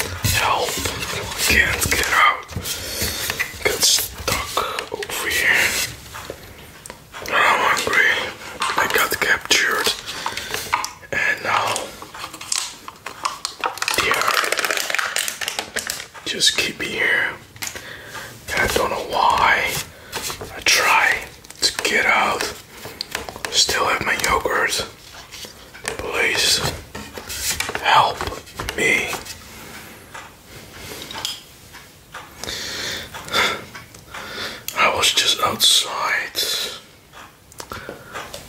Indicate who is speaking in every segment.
Speaker 1: Help! I can't get out. Get stuck over here. I'm hungry. I got captured. And now, yeah, just keep here. I don't know why. I try to get out. Still have my yogurts. Please help me. I was just outside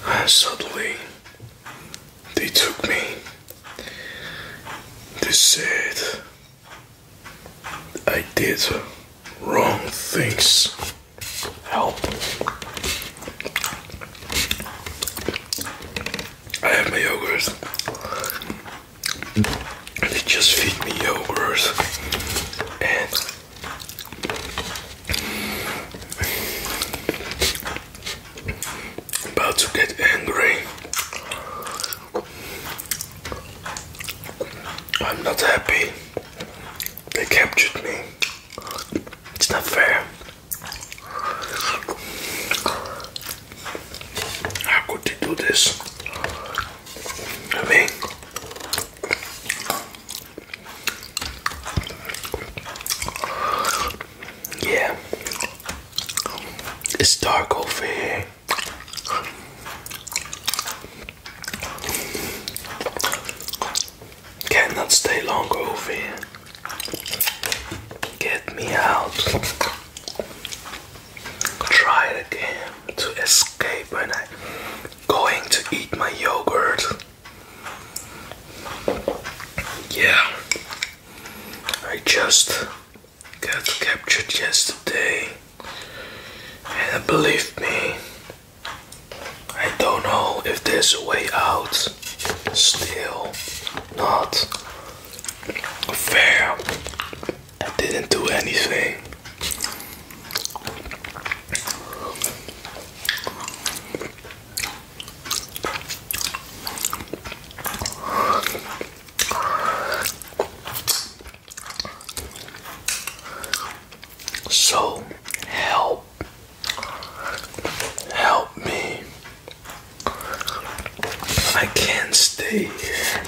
Speaker 1: and suddenly they took me. They said I did wrong things. Help. I have my yogurts. They just feed me yogurts. And I'm about to get angry. I'm not happy. They captured me. It's not fair. How could they do this? I mean, yeah, it's dark over here. Cannot stay longer over here. Get me out. Try again to escape when I'm going to eat my yogurt. Yeah, I just got captured yesterday, and believe me, I don't know if there's a way out. Still not fair. I didn't do anything. So help, help me. I can't stay here.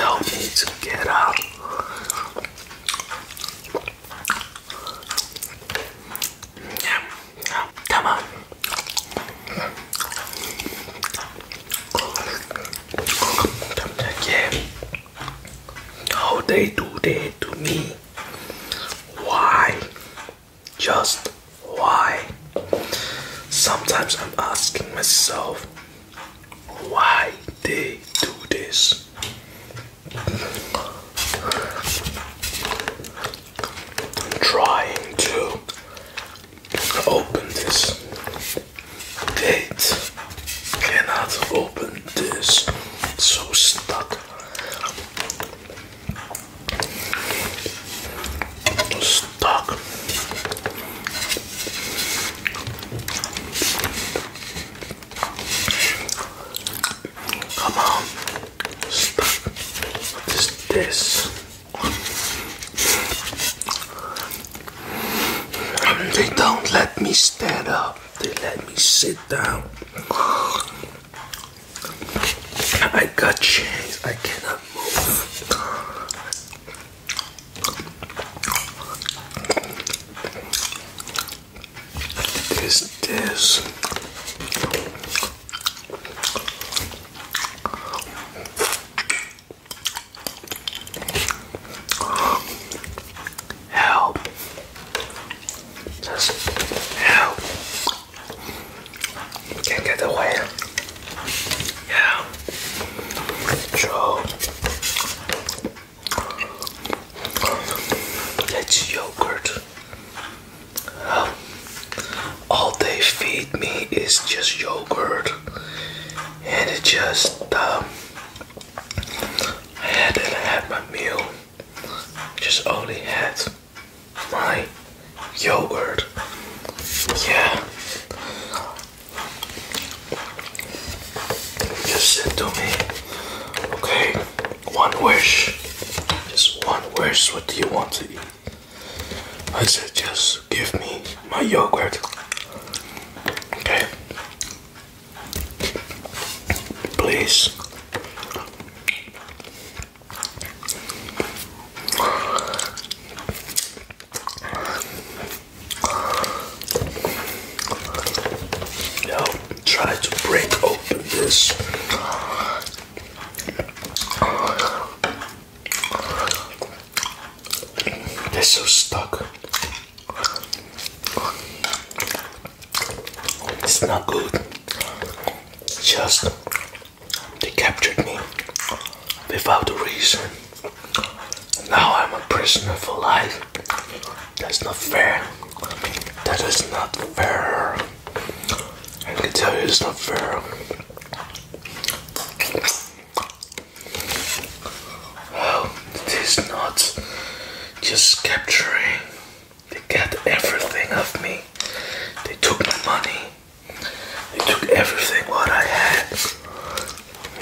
Speaker 1: Help me to get out. Come on how they do that to me. Why? Just why? Sometimes I'm asking myself why they do this. I'm trying to open this gate. Cannot open this. So stuck. Stuck. Come on. Stuck. What is this? They don't let me stand up. They let me sit down. I got chains. I cannot move. This, this. Help. Just help. Can't get away. Yeah. Control. That's yogurt all they feed me is just yogurt and it just um, I had and I had my meal just only had my yogurt yeah just said to me okay one wish just one wish what do you want to eat I said, just give me my yogurt. Okay. Please. Now try to break open this they're so stuck. It's not good. Just they captured me without a reason. Now I'm a prisoner for life. That's not fair. That is not fair. I can tell you it's not fair. It is not just capturing. They got everything of me. They took my money. They took everything what I had.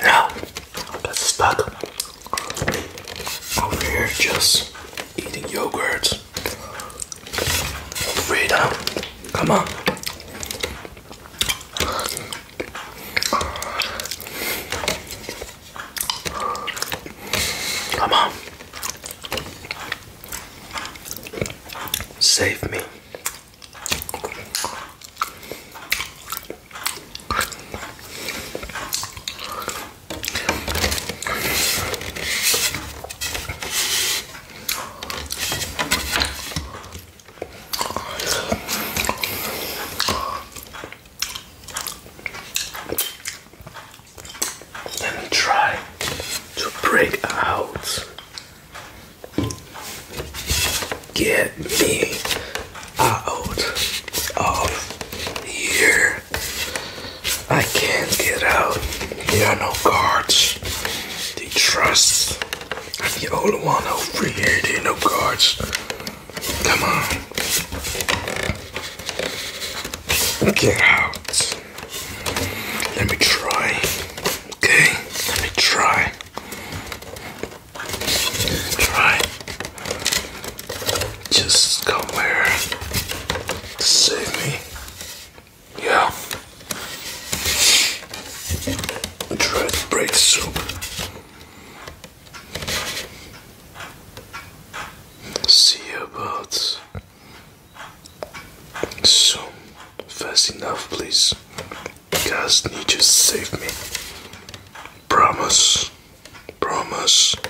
Speaker 1: Now I got stuck over here just eating yogurt. Freedom. Come on. Come on. Save me. Let me try to break out. Get me out of here. I can't get out. There are no guards. They trust. I'm the only one over here. There are no guards. Come on. Get out. Let me try. Okay? Let me try. Let me try just come here to save me. Yeah. I tried to break the soup. See about soon. Fast enough, please. guys need to save me. Promise. Promise.